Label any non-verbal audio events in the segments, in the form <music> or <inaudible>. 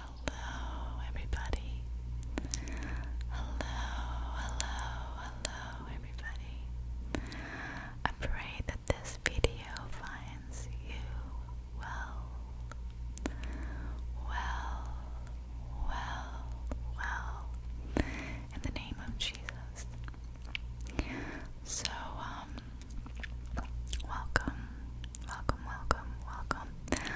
Hello, everybody. Hello, hello, hello, everybody. I pray that this video finds you well. Well, well, well. In the name of Jesus. So, um, welcome, welcome, welcome, welcome.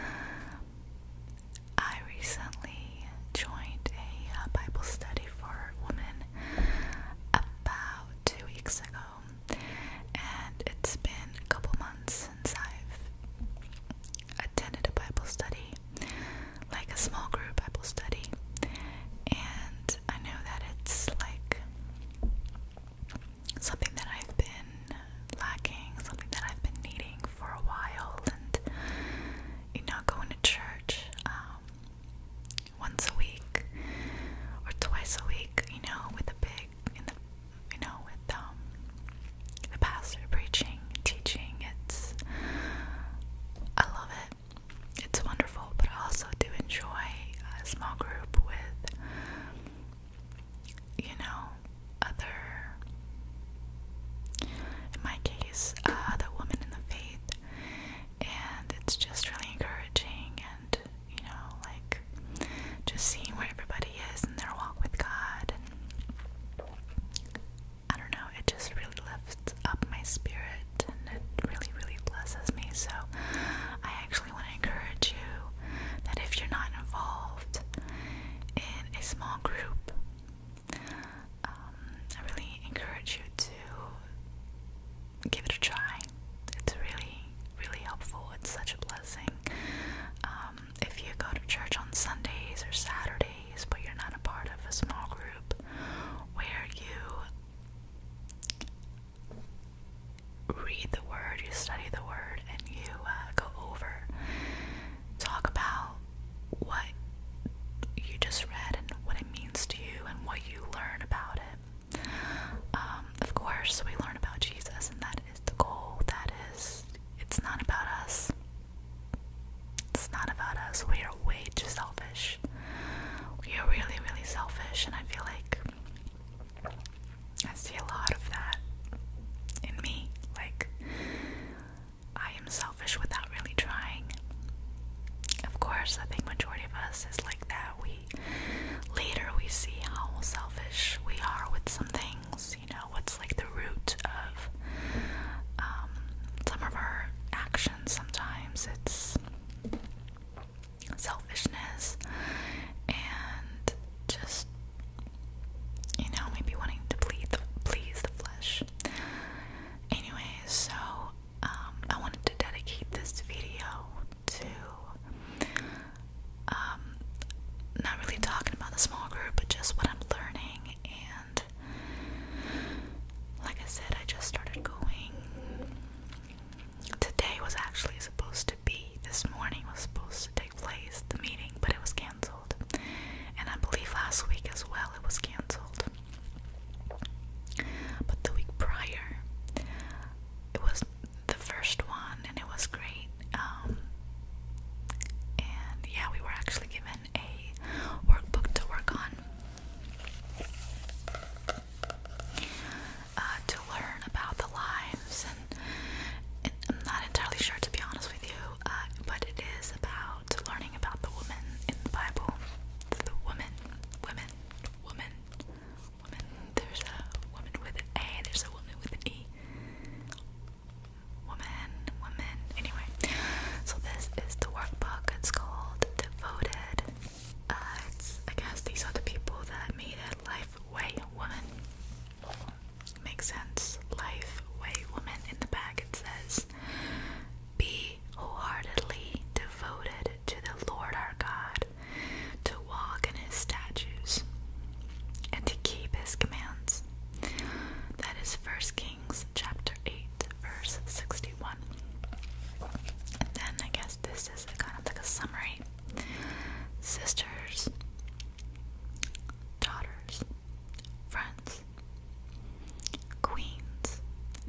I recently joined a uh, Bible study for women about two weeks ago, and it's been a couple months since I've attended a Bible study like a small group Bible study. And I know that it's like something that I've been lacking, something that I've been needing for a while. And, you know, going to church um, once a week or twice a week, you know, with a big, you know, with um, the pastor preaching, teaching, it's, I love it it's wonderful, but I also do enjoy a small group with, you know, other, in my case, uh, other women in the faith, and it's just really encouraging and, you know, like just seeing where everybody is in their walk with God. And I don't know, it just really lifts up my spirit and it really, really blesses me. So, I actually want to encourage you that if you're not involved in a small group, um, I really encourage you to give it a try. It's really, really helpful. It's such a blessing. Um, if you go to church on Sundays or Saturdays, but you're not a part of a small group where you read the word, you study the word, and you uh, go over, talk about what you just read and what it means to you and what you learn about it. Um, of course, we learn about Jesus, and that is the goal. That is, it's not about us. It's not about us. We way too selfish. you are really, really selfish, and I feel like I see a lot of that in me. Like, I am selfish without really trying. Of course, I think majority of us is like that. We later we see how selfish we are with some things. You know, what's like the root of um, some of our actions. Sometimes it's selfishness and just you know maybe wanting to please the, please the flesh anyway so um, I wanted to dedicate this video to um, not really talking about the small group but just what I'm learning and like I said I just started going today was actually supposed to be, this morning was supposed to take place, the meeting, but it was canceled. And I believe last week as well it was canceled. But the week prior, it was the first one and it was great. Um, and yeah, we were actually given a workbook to work on. Uh, to learn about the lives, and, I'm not entirely sure to be honest with you, uh, but it is about learning about the woman in the Bible. The woman, women, woman, woman. There's a woman with an A. There's a woman with an E. Woman, woman. Anyway, so this is the workbook. It's called Devoted uh, I guess these are the people that made it Life Way Woman. Makes sense. Life Way Woman. In the back it says, Be wholeheartedly devoted to the Lord our God, to walk in his statutes, and to keep his commands. That is 1 Kings chapter 8, verse 16 one. then I guess this is kind of like a summary. Sisters, daughters, friends, queens,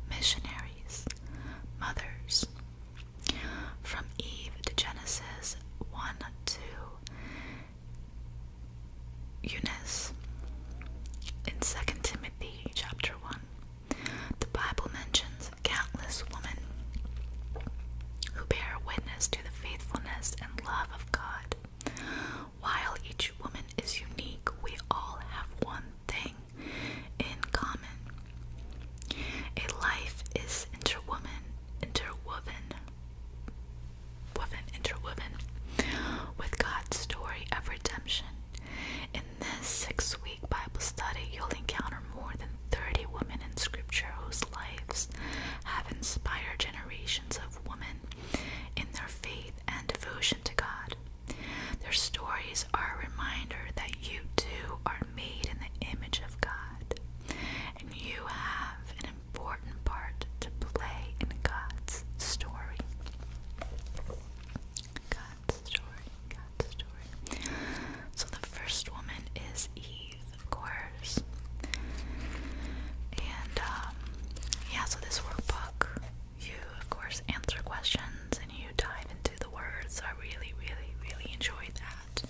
missionaries, mothers. From Eve to Genesis 1 2. Eunice in 2 Timothy chapter 1 the Bible mentions countless women who bear witness to the faithfulness and love of God. While each woman is unique, we all have one thing in common. A life is interwoven, interwoven, woven, interwoven with God's story of redemption. In this six week Bible study, you'll encounter more than 30 women in Scripture whose lives have inspired generations of women in their faith and devotion to God. Their stories are a reminder that you too are made in the image of God, and you have an important part to play in God's story. God's story, God's story. So the first woman is Eve, of course. And um, yeah, so this workbook, you of course answer questions and you dive into the words. I really, really, really enjoy that.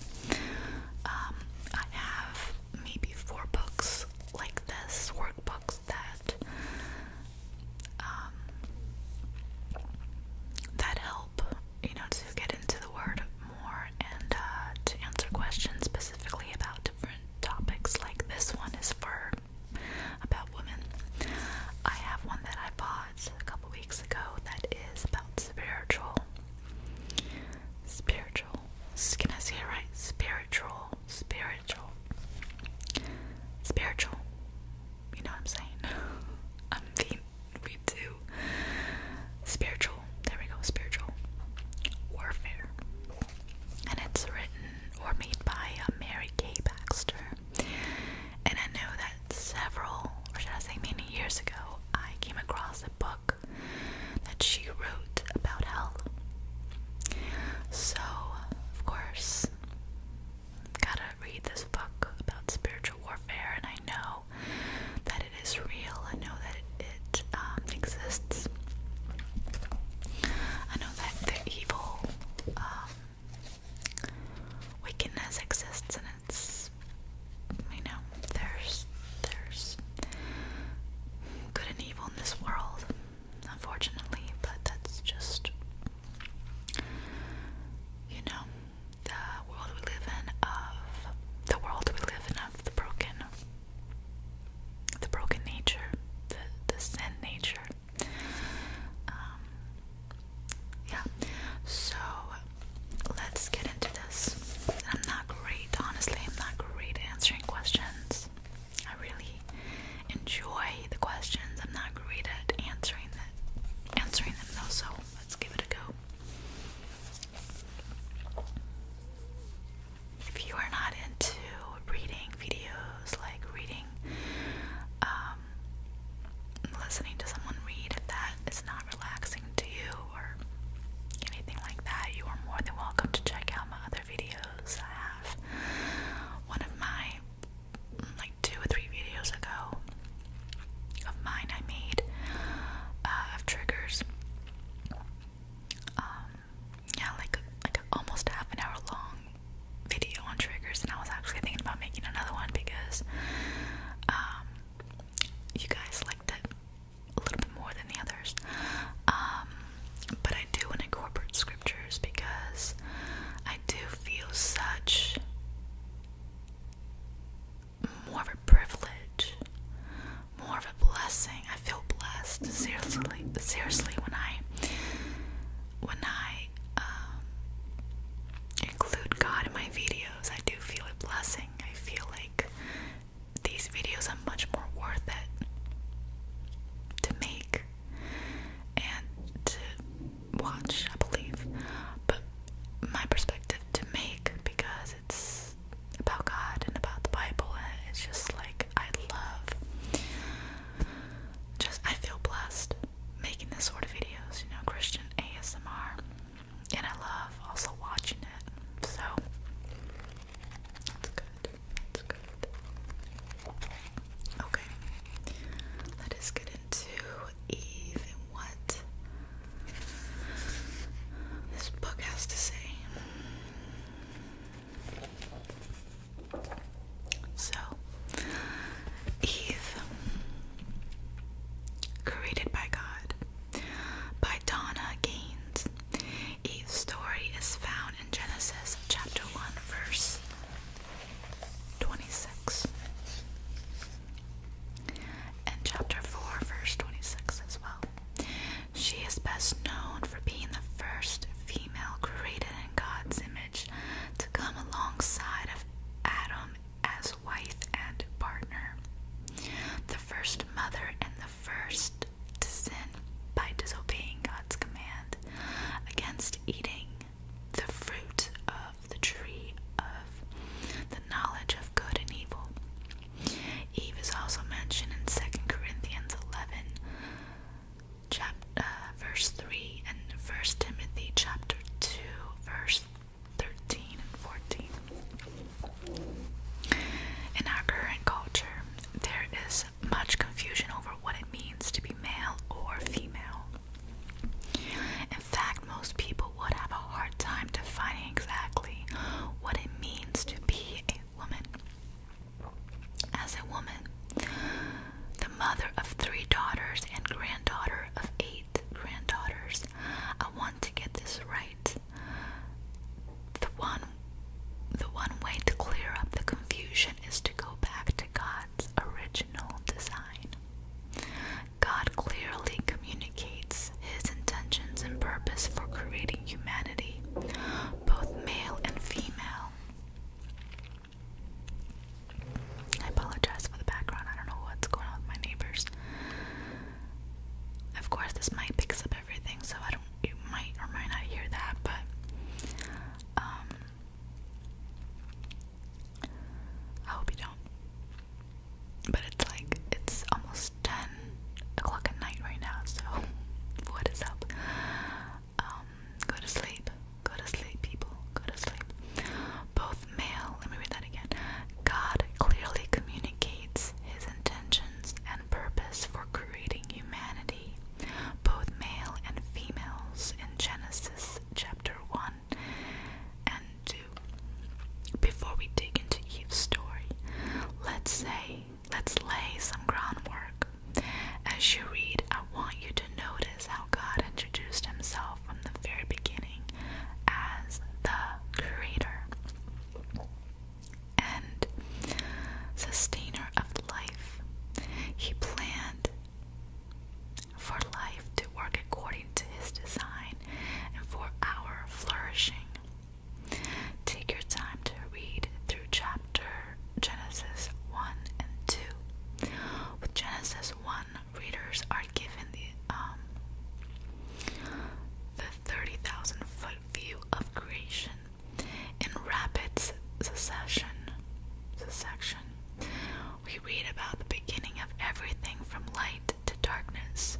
Um, I have maybe four books like this, workbooks that um, that help you know, to get into the word more and uh, to answer questions specifically about different topics. Like this one is for about women. I have one that I bought a couple weeks ago that is about spiritual, spiritual. Can I say it right? Spiritual, spiritual, spiritual. You know what I'm saying? <laughs> I'm being we do spiritual, there we go, spiritual warfare. And it's written or made by uh, Mary K. Baxter. And I know that several, or should I say many years ago, I came across a book that she wrote about hell. So, of course, gotta read this book about spiritual warfare, and I know that it is real. I know that it, um, exists. I know that evil um, wickedness exists, and it's you know there's there's good and evil in this world, unfortunately. But that's just you know the world we live in of the world we live in of the broken the broken nature, the the sin nature. Um, yeah. So let's get into this. I'm not great, honestly. I'm not great at answering questions. I really enjoy the questions. I'm not great at answering answering them though. So Let's give it a go. If you are not into reading videos, like reading, um, listening to someone read, if that is not relaxing to you or anything like that, you are more than welcome to check out my other videos. I have one of my like two or three videos ago of mine I made uh, of triggers. Um, yeah, like like almost half an hour long video on triggers, and I was actually thinking about making another one because um, you guys liked it a little bit more than the others. Um, but I do want to incorporate scriptures because I do feel such more of a privilege, more of a blessing. I feel blessed, seriously. Seriously, when I when I um, include God in my videos, I do feel a blessing. I feel like these videos are much more worth it to make and to watch, I believe, but my perspective to make because it's about God and about the Bible. it's just like I love, just I feel blessed making this sort of videos, you know, Christian ASMR, and I love also watching it. So that's good. That's good. Okay, let us get into even what this book has to say. So, Eve, created by God, by Donna Gaines. Eve's story is found in Genesis chapter 1, verse 26. And chapter 4, verse 26 as well. She is best known for being the first female created in God's image to come alongside of Adam as wife and partner, the first mother and the first to sin by disobeying God's command against eating the fruit of the tree of the knowledge of good and evil. Eve is also mentioned in 2 Corinthians 11 chapter, uh, verse 3 and 1 Timothy chapter 2 verse 13 and 14. In our current culture, there is much confusion over what it means to be male or female. In fact, most people would have a hard time defining exactly what it means to be a woman. As a woman, the mother of three daughters and granddaughter of eight granddaughters, I want to get this right. The one the one way to clear up the confusion is to go back to God's original design. God clearly communicates his intentions and purpose for creating humanity, both male and female. I apologize for the background, I don't know what's going on with my neighbors. Of course, this mic picks up everything, so I don't, you might or might not hear that, but um, I hope you don't. But it's like it's almost ten o'clock at night right now, so <laughs> what is up? Um, go to sleep. Go to sleep, people. Go to sleep. Both male, let me read that again. God clearly communicates his intentions and purpose for creating humanity, both male and females, in Genesis chapter 1, and 2. Before we dig into Eve's story, let's say let's lay some groundwork. As you read, I want you to notice how God introduced himself from the very beginning as the creator and sustainer of life. He planned for life to work according to his design and for our flourishing. Take your time to read through chapter Genesis 1 and 2. With Genesis 1, readers are given the um, the 30,000 foot view of creation in rapid succession. We read about the beginning of everything from light to darkness,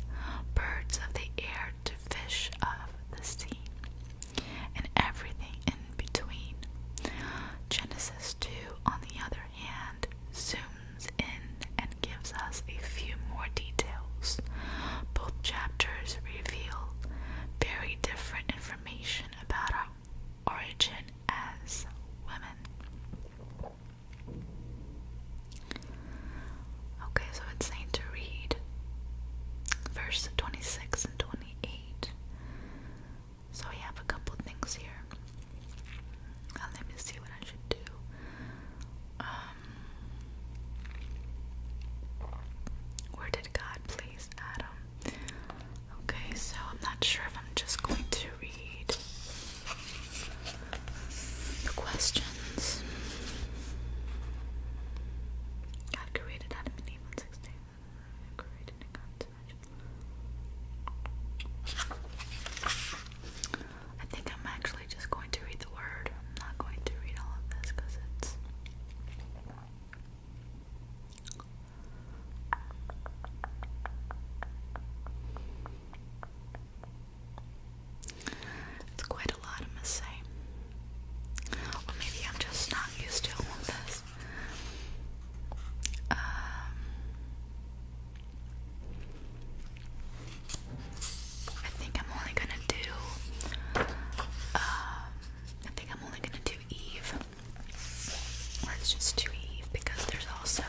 birds of the air to fish of the sea, and everything in between. Genesis 2, on the other hand, zooms in and gives us a few more details. Both chapters reveal very different information about our origin as women. Okay, so it's saying to read verse 26 and 28. So we have a couple things here. Uh, let me see what I should do. Um, where did God place Adam? Okay, so I'm not sure if I'm just going to the questions. God created Adam and Eve on six days. And created in God's I think I'm actually just going to read the word. I'm not going to read all of this because it's. It's quite a lot, I must say. Or maybe I'm just not used to this. Um, I think I'm only gonna do. Uh, I think I'm only gonna do Eve. Let's just do Eve because there's also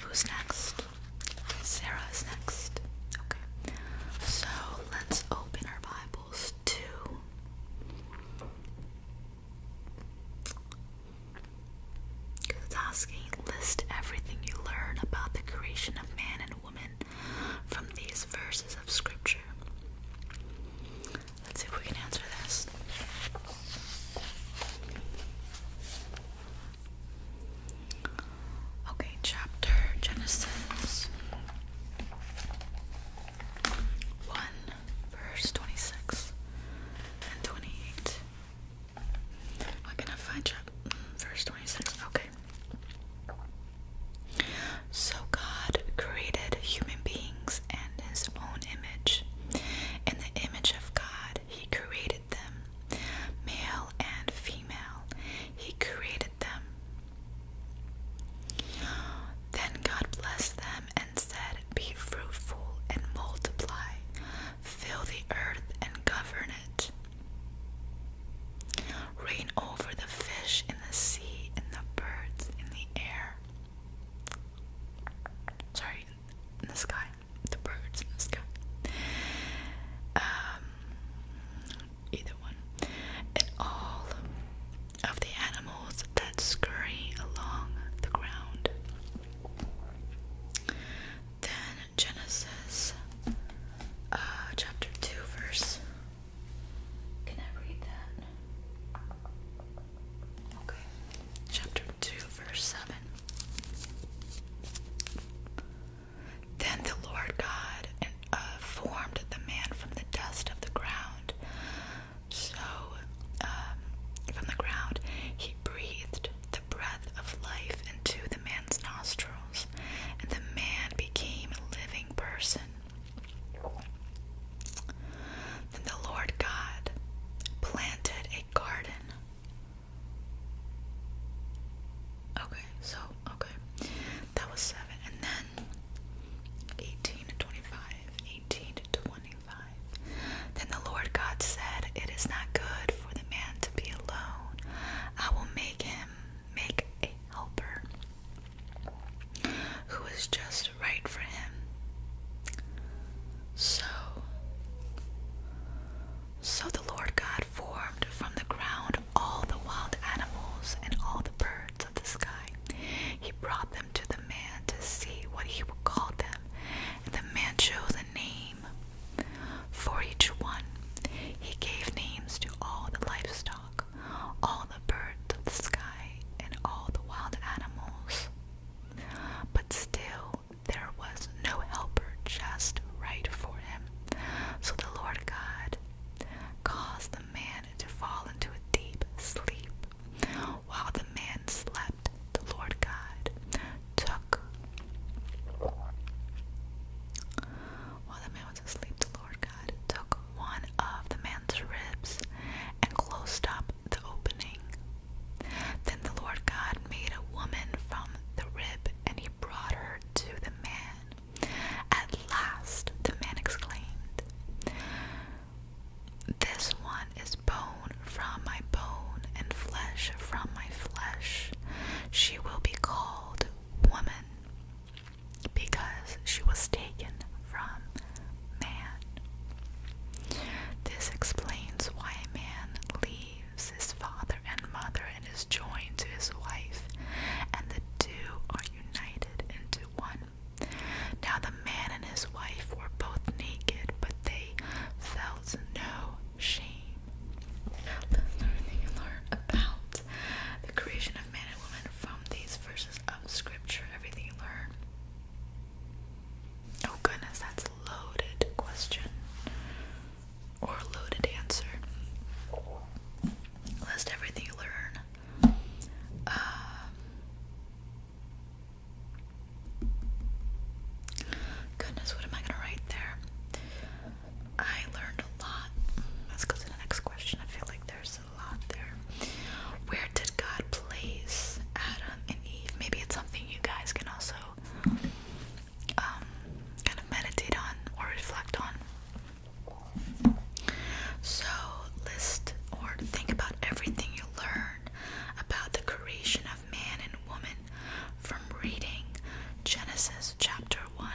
Who's next? Sarah is next. Okay. So let's open our Bibles to it's asking list everything you learn about the creation of man and woman from these verses of scripture. Let's see if we can answer this. Okay, chapter Genesis 1, verse 26 and 28. I'm gonna find chapter mm, verse 26. Okay. So God created human beings in his own image. In the image of God, he created them, male and female. He created them. Then God blessed them and said, Be fruitful and multiply, fill the earth and govern it. Reign over the fish in the sea and the birds in the air. Sorry, in the sky the birds in the sky. Um, either one. And all of the animals that scurry along the ground. Then Genesis uh, chapter 2, verse. Can I read that? Okay. Chapter 2, verse 7. Then the Lord God uh, formed the man from the dust of the ground. So, um, from the ground, he breathed the breath of life into the man's nostrils, and the man became a living person. Then the Lord God planted a garden Okay, so okay. That was seven and then eighteen to twenty-five. to twenty-five. Then the Lord God said, It is not good for the man to be alone. I will make him make a helper who is just right for him. So so the Lord God formed from the ground all the wild animals and all the birds of the sky. He brought them to the man to see what he would call them, and the man chose a name for each one. He gave names to all the livestock, all the birds of the sky, and all the wild animals. But still, there was no helper just right for him. So the Lord God caused the man to fall into a deep sleep. While the man slept, the Lord God took. While the man was asleep, the Lord God took one of the man's ribs and closed up the opening. Then the Lord God made a woman from the rib, and he brought her to the man. At last, the man exclaimed, This one is bone from my bone and flesh from my flesh. She will be called woman because she was taken from man. This explains why man leaves his father and mother and is joined to his wife, and the two are united into one. Now the man and his wife were both naked, but they felt no shame. Let's learn learn about the creation of man and woman from these verses of scripture. Everything you learn. Oh goodness, that's a loaded question or loaded answer. List everything you learn. Um, goodness, what am I gonna write there? I learned a lot. Let's go to the next question. I feel like there's a lot there. Where did God place Adam and Eve? Maybe it's something you guys can also um, kind of meditate on or reflect on. So, list or think about everything you learn about the creation of man and woman from reading Genesis chapter 1,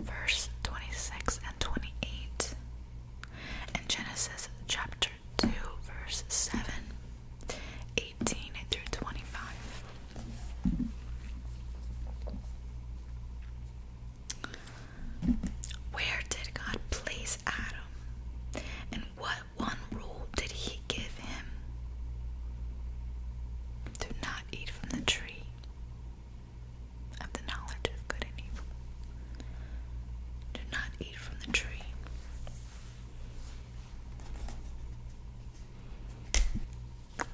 verse 26 and 28, and Genesis chapter 2, verse 7, 18 through 25. Where did God place Adam? And what one rule did He give him? Do not eat from the tree of the knowledge of good and evil. Do not eat from the tree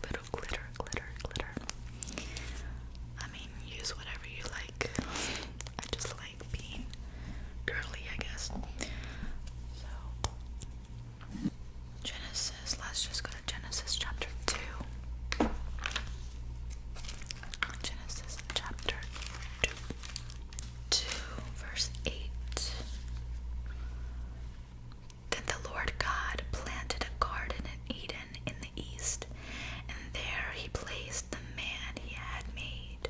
little glitter, glitter, glitter. I mean, use whatever you like. I just like being girly, I guess. So, Genesis, let's just go to Genesis chapter 2. Genesis chapter 2, 2 verse 8. Then the Lord God planted a garden in Eden in the east, and there he placed the man he had made.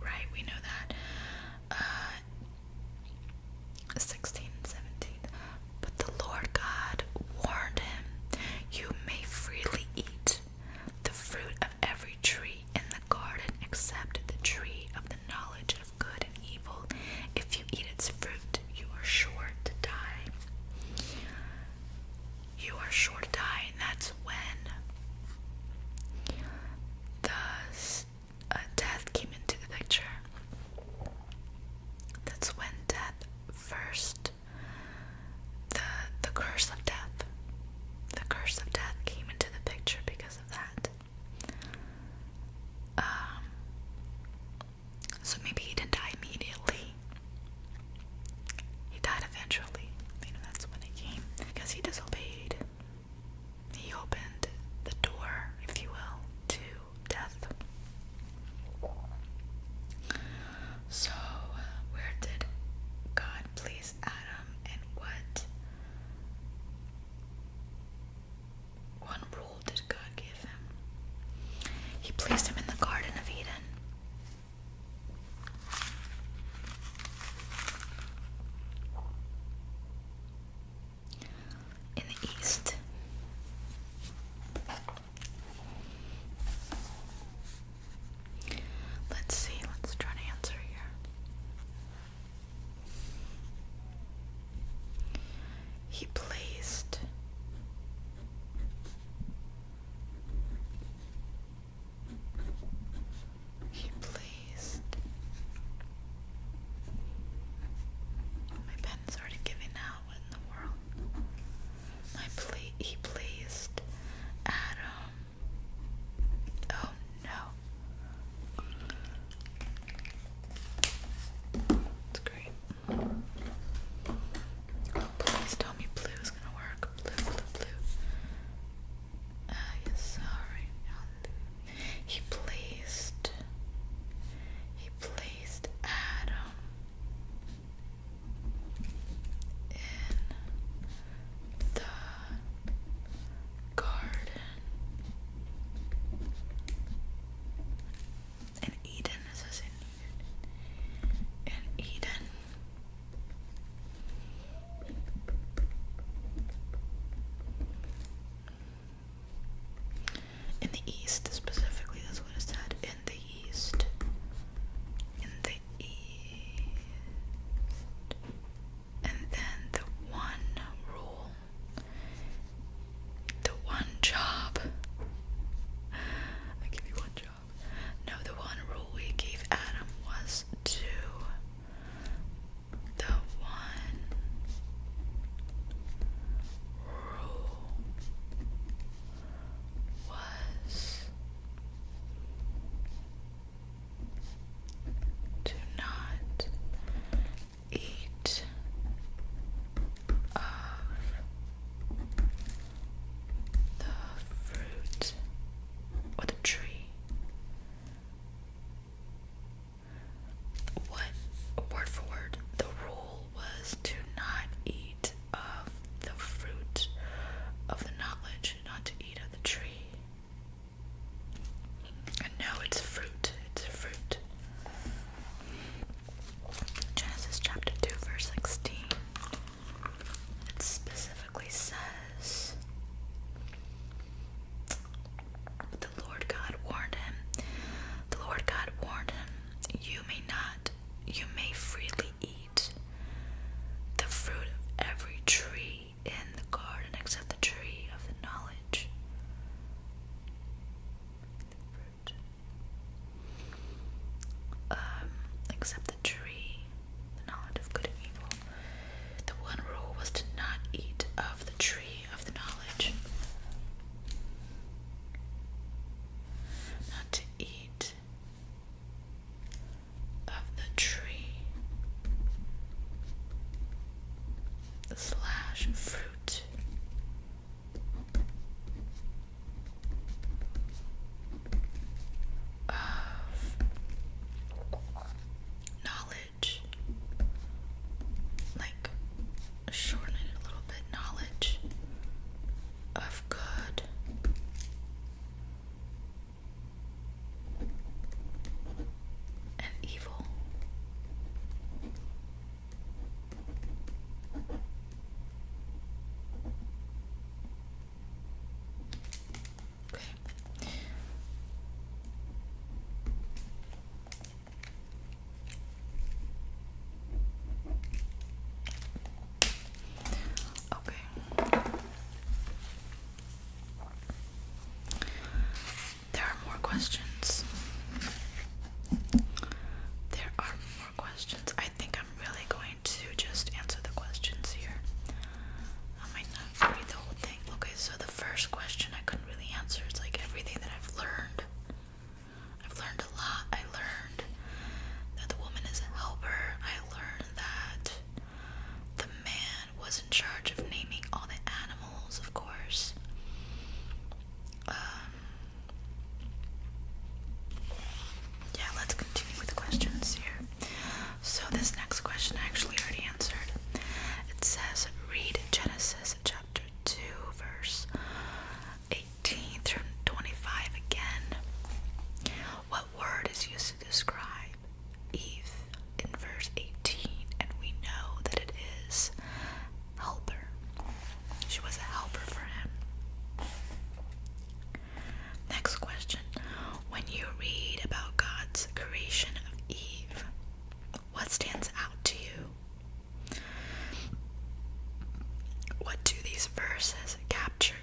Right, we know that. Uh, But the Lord God warned him, You may freely eat the fruit of every tree in the garden except the tree of the knowledge of good and evil. If you eat its fruit, you are sure to die. You are sure to die, and that's when the uh, death came into the picture. That's when death first the the curse of death. The curse of death came into the picture because of that. Um, so maybe he didn't die immediately. He died eventually. that's when it came. Because he disobeyed. He opened the door, if you will, to death. So, uh, where did God please Adam, and what one rule did God give him? He placed him in the Garden of Eden. In the east, Let's see, let's try to answer here. He placed He placed My pen's already giving out, what in the world? My pla he placed Adam Oh no. That's great. please tell me blue is gonna work. Blue, blue, blue. Ah, uh, yes, sorry. He placed. He placed Adam in the garden. In Eden, is this in Eden? In the east, specifically, that's what it said. In the east. In the and then the one rule, the one job. I give you one job. No, the one rule we gave Adam was to the one rule was do not eat of uh, the fruit or the tree. What word for word the rule was to not eat of the fruit of the knowledge not to eat of the tree. And no, it's fruit. It's fruit. Genesis chapter 2, verse 16. It specifically says the Lord God warned him. The Lord God warned him, You may not, you may freely eat the fruit of every tree in the garden except the tree of the knowledge. Um, except the tree, the knowledge of good and evil. The one rule was to not eat of the tree of the knowledge. Not to eat of the tree slash fruit. Of knowledge, like shorten it a little bit. Knowledge of good and evil. Okay. Okay. There are more questions. There are more questions. I think I'm really going to just answer the questions here. I might not read the whole thing. Okay, so the first question I could really answer. It's like everything that I've learned. I've learned a lot. I learned that the woman is a helper. I learned that the man was in charge of naming all the animals, of course. Um, yeah, let's continue with questions here. So, this next question I actually already answered. It says, read Genesis chapter 2, verse 18 through 25 again. What word is used to describe Eve in verse 18? And we know that it is helper. She was a helper for him. Next question. When you read about God's creation of Eve, what stands out to you? What do these verses capture?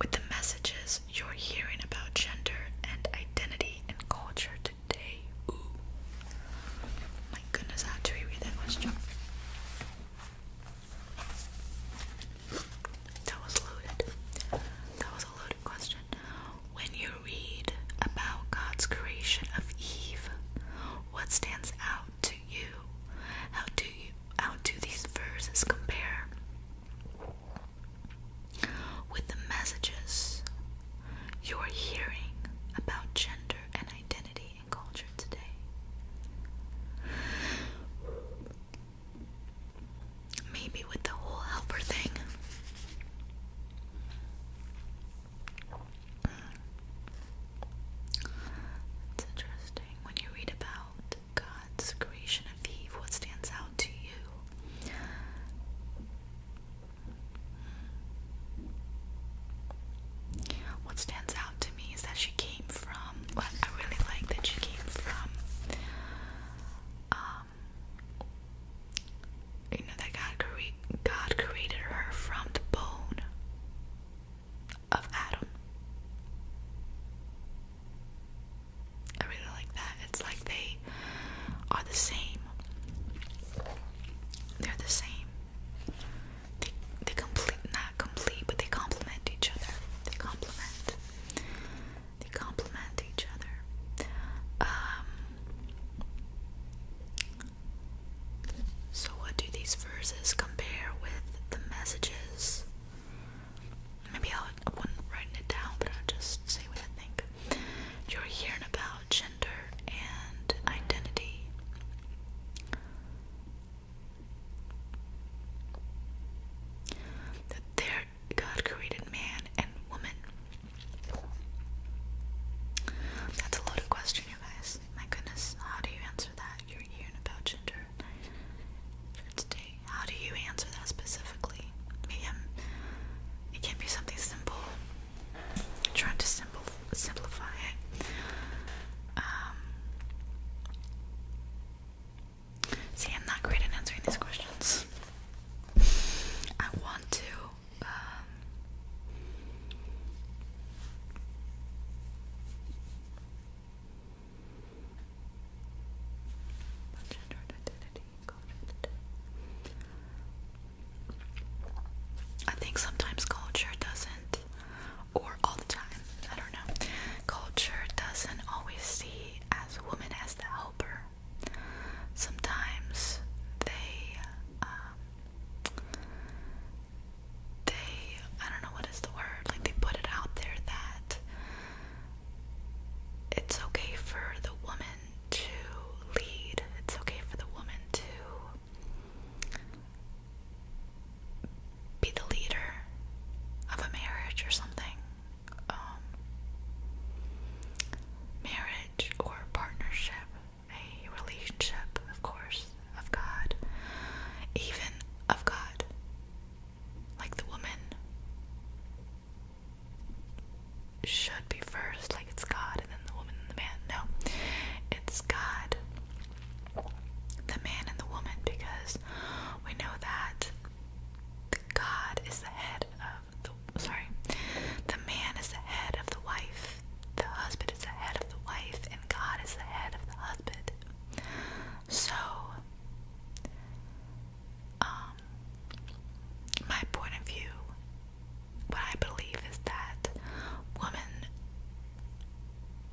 with the messages you're hearing about gender and identity and culture today. My goodness, how do we read that question? That was loaded. That was a loaded question. When you read about God's creation of Eve, what stands out to you? How do you how do these verses compare? with the messages you are hearing about gender and identity and culture today. Maybe with the whole helper thing. It's interesting when you read about God's creation of Eve, what stands out to you? What stands out to me is that she came from, well, I really like that she came from, um, you know, that God, cre God created her from the bone of Adam. I really like that. It's like they are the same. They're the same. They they complete not complete, but they complement each other. They complement. They complement each other. Um, so what do these verses compare with the messages maybe I'll, I would not write it down, but I'll just say what I think. You're hearing about gender and identity. That there, God created man and woman. That's a loaded question, you guys. My goodness, how do you answer that? You're hearing about gender. Today, how do you answer that specifically? it can be something simple. trying to simplify it. Um, see, I'm not great at answering these questions. I want to. Um, I think sometimes culture doesn't, or all the time, I don't know, culture doesn't always see as a woman as the helper. Sometimes they, um, they, I don't know what is the word, like they put it out there that it's okay for the woman to lead. It's okay for the woman to be the leader of a marriage or something. Um, marriage or partnership, a relationship, of course, of God, even of God. Like the woman should be first, like it's God and then the woman and the man. No, it's God, the man, and the woman because we know that the God is the head of the sorry, the man is the head of the wife, the husband is the head of the wife, and God is the head of the husband. So, um, my point of view, what I believe is that women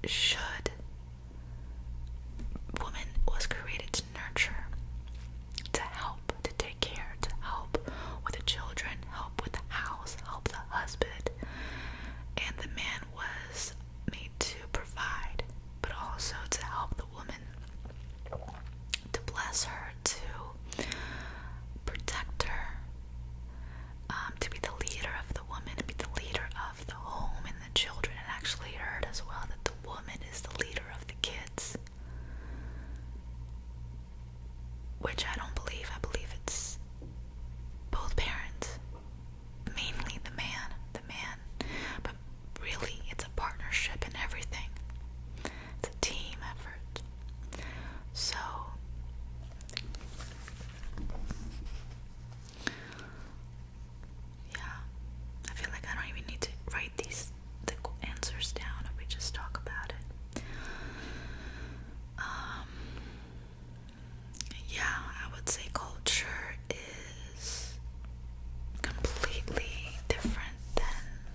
should, woman was created to nurture, to help, to take care, to help with the children, help with the house, help the husband, and the man was made to provide, but also to help the woman to bless her, to protect her, um, to be the leader of the woman, to be the leader of the home and the children. And actually, heard as well that the woman is the leader of the kids, which I don't believe. I believe it's both parents, mainly the man, the man, really it's a partnership in everything. It's a team effort. So yeah, I feel like I don't even need to write these answers down we just talk about it. Um, yeah, I would say culture is completely different than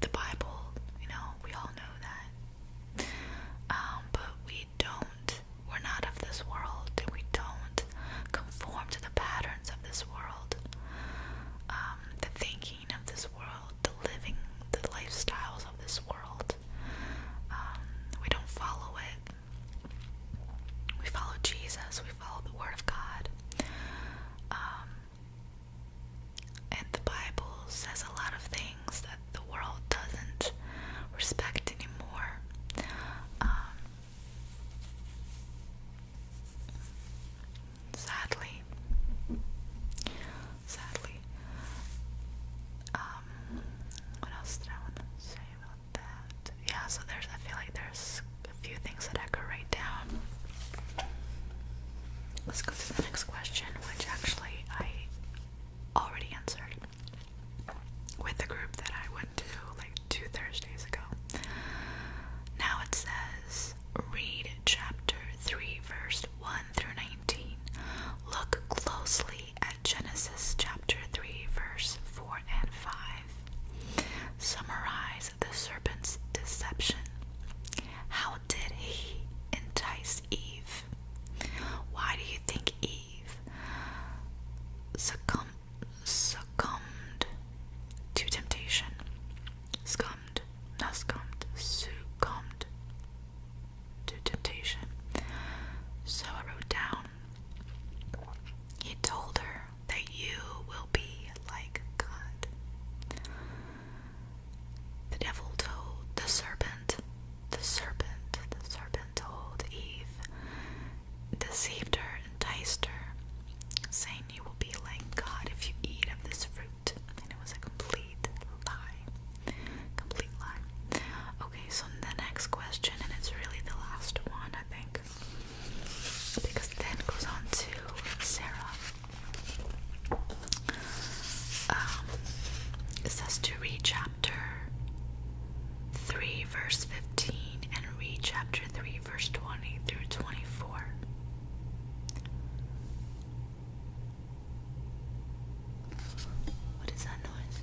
the Bible, you know, we all know that. Um, but we don't, we're not of this world, and we don't conform to the patterns of this world, um, the thinking of this world, the living, the lifestyles of this world. Um, we don't follow it. We follow Jesus, we follow the Word of God. And the Bible says a lot of things that the world doesn't respect anymore. Um, sadly, sadly. Um, what else did I want to say about that? Yeah, so there's, I feel like there's a few things that I could write down. Let's go to the next question, which actually I already answered with the group that I went to like two Thursdays ago. Now it says read chapter 3, verse 1 through 19. Look closely at Genesis chapter 3, verse 4 and 5. Summarize the serpent's deception. How did he entice Eve? Why do you think Eve succumbed to temptation? Scummed, not scummed, succumbed to temptation. So I wrote down, he told her that you will be like God. The devil told the serpent, the serpent, the serpent told Eve, deceived her, enticed her, saying, You will be like God if you eat of this fruit. And it was a complete lie. Complete lie. Okay, so the next question, and it's really the last one, I think. Because then goes on to Sarah. Um, it says to read chapter 3, verse 15, and read chapter 3, verse 20 through 24. What is that noise?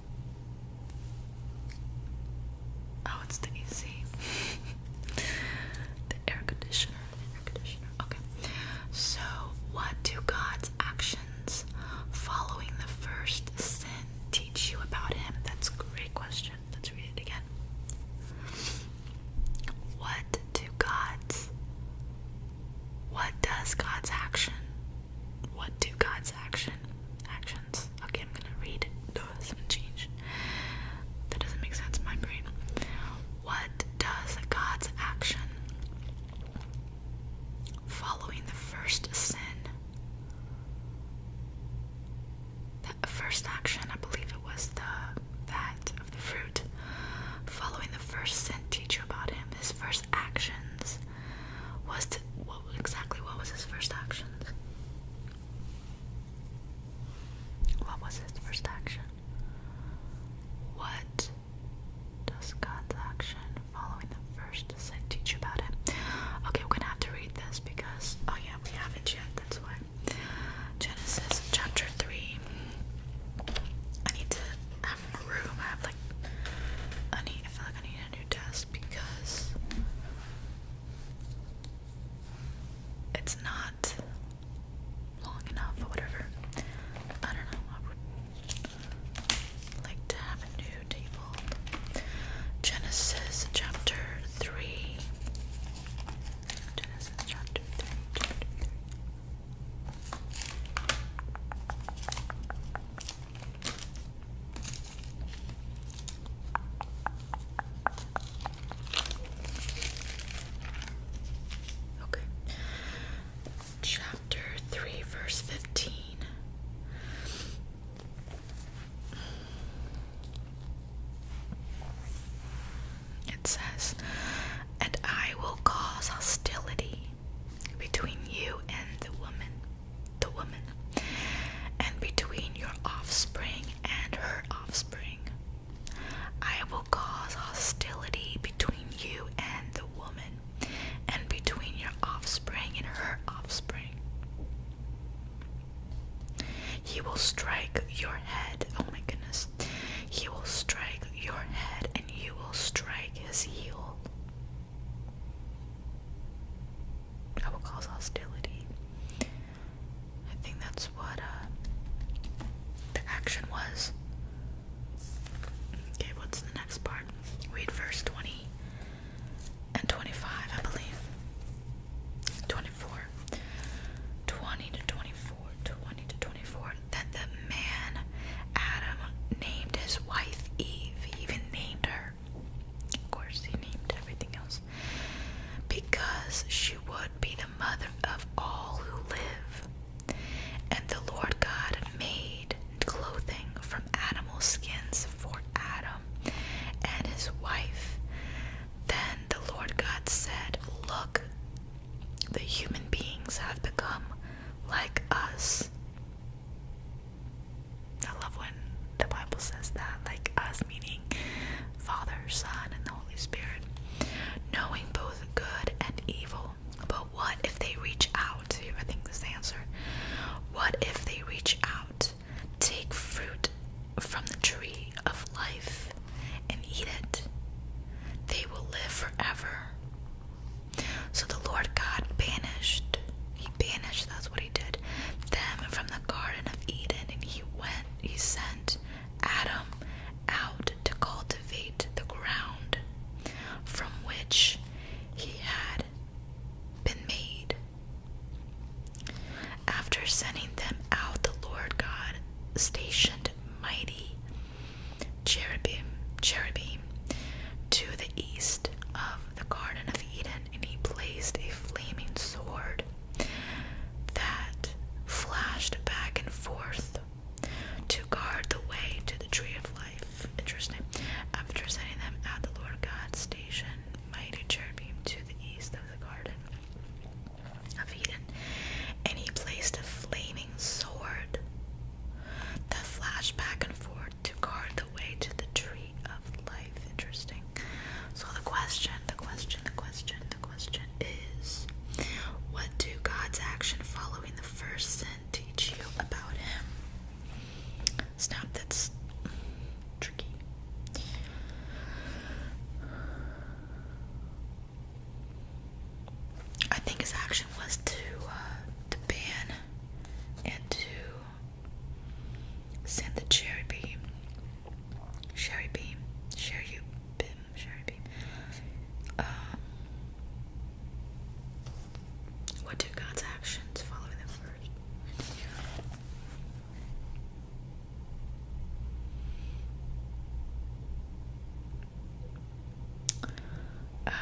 Oh, it's the AC. <laughs> the air conditioner. Okay. So, what do God's actions following the first sin teach you about Him? That's a great question. Let's read it again. What do God's what does God's action? What do God's action actions? Okay, I'm gonna read. No, it's gonna change. That doesn't make sense my brain. What does God's action following the first sin? The first action, I believe it was the that of the fruit. Following the first sin, teach you about him. His first actions was to what exactly what was his first actions? What was his first action? What does God's action following the first sin teach about it? Okay, we're gonna have to read this because oh yeah, we haven't yet. That's why Genesis chapter three. I need to have a room. I have like I need. I feel like I need a new desk because it's not long enough or whatever. I don't know. like to have a new table. Genesis chapter 3. Genesis chapter 3. Chapter 3. Okay. Chapter 3, verse 15. It says, And I will cause hostility between you and the woman, the woman, and between your offspring and her offspring. I will cause hostility between you and the woman, and between your offspring and her offspring. He will strike your head. Oh my goodness. He will strike your head, and you will strike his heel. I will cause hostility. I think that's what uh, the action was. Okay, what's the next part? Read verse 20 and 25, I believe. 24. to 24. to 24. That the man Adam named his wife Eve. even named her. Of course, he named everything else. Because she would be the mother of all who live. And the Lord God made clothing from animal skins for Adam and his wife. Then the Lord God said, Look, the human beings have become like us. I love when the Bible says that, like us, meaning Father, Son, and the Holy Spirit, knowing both good and evil. But what if they reach out? Here, I think this answer. What if they reach out, take fruit from the tree of life, and eat it? They will live forever. So the Lord God banished, He banished, that's what He did, them from the Garden of Eden, and He went, He sent Adam out to cultivate the ground from which he had been made. After sending them out, the Lord God stationed mighty cherubim, cherubim to the east of the Garden of Eden, and he placed a flaming sword that flashed back and forth to guard the way to the tree of life. Interesting. After setting them at the Lord God's station, mighty cherubim to the east of the garden of Eden, and he placed a flaming sword that flashed back and forth to guard the way to the tree of life. Interesting. So the question, the question, the question the question is what do God's action following the first sin teach you about him? Snap, that's tricky. I think his action was to uh, to ban and to send the cherry beam, cherry beam, cherry beam, uh, what do God's actions follow them first? Um,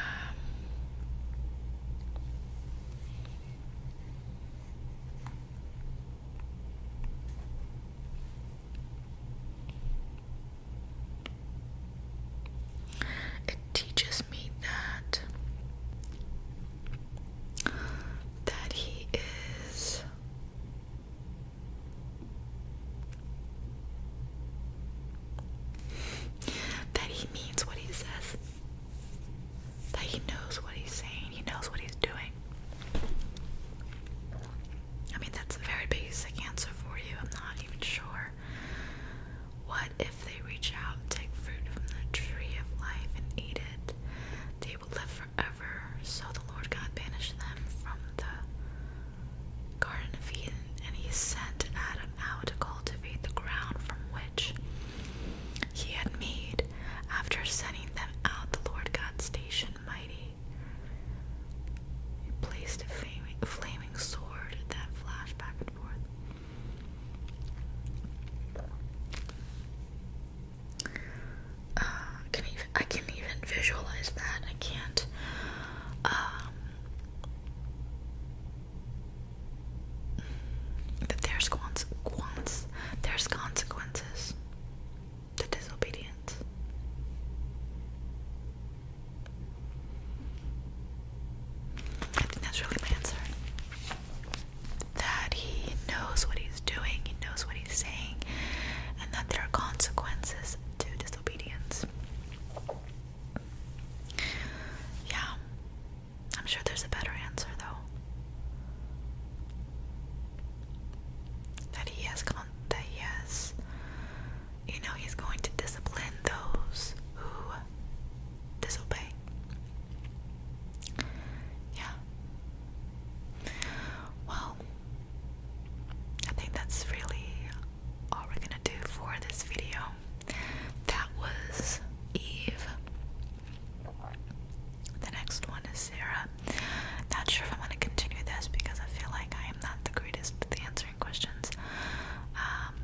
it teaches me that that he is that he means what he says. That he knows what he's saying, he knows what he's doing. I mean, that's a very basic answer for you. I'm not even sure. What if they reach out, take fruit from the tree of life, and eat it? They will live forever. So the Lord God banished them from the Garden of Eden, and He sent Adam out to cultivate the ground from which He had made. After sending them out, the Lord God stationed mighty he placed a flaming, sword that flashed back and forth. Uh, can even, I can even visualize that. I can't. Um, that there's, cons there's consequences to disobedience. I think that's really my answer. That he knows what he's doing, he knows what he's saying, and that there are consequences to disobedience. Yeah, I'm sure there's a better answer though. That he has con that he has you know, he's going to discipline those who disobey. Yeah. Well, I think that's really all we're gonna do for this video. That was Eve. The next one is Sarah. Not sure if I'm gonna continue this because I feel like I am not the greatest with the questions. Um,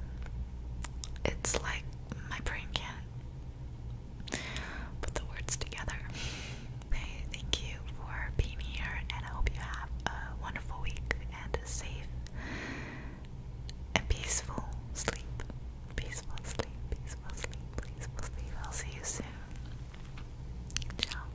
it's like my brain can't put the words together. Hey, thank you for being here, and I hope you have a wonderful week and a safe peaceful sleep. Peaceful sleep, peaceful sleep, peaceful sleep. I'll see you soon. Ciao.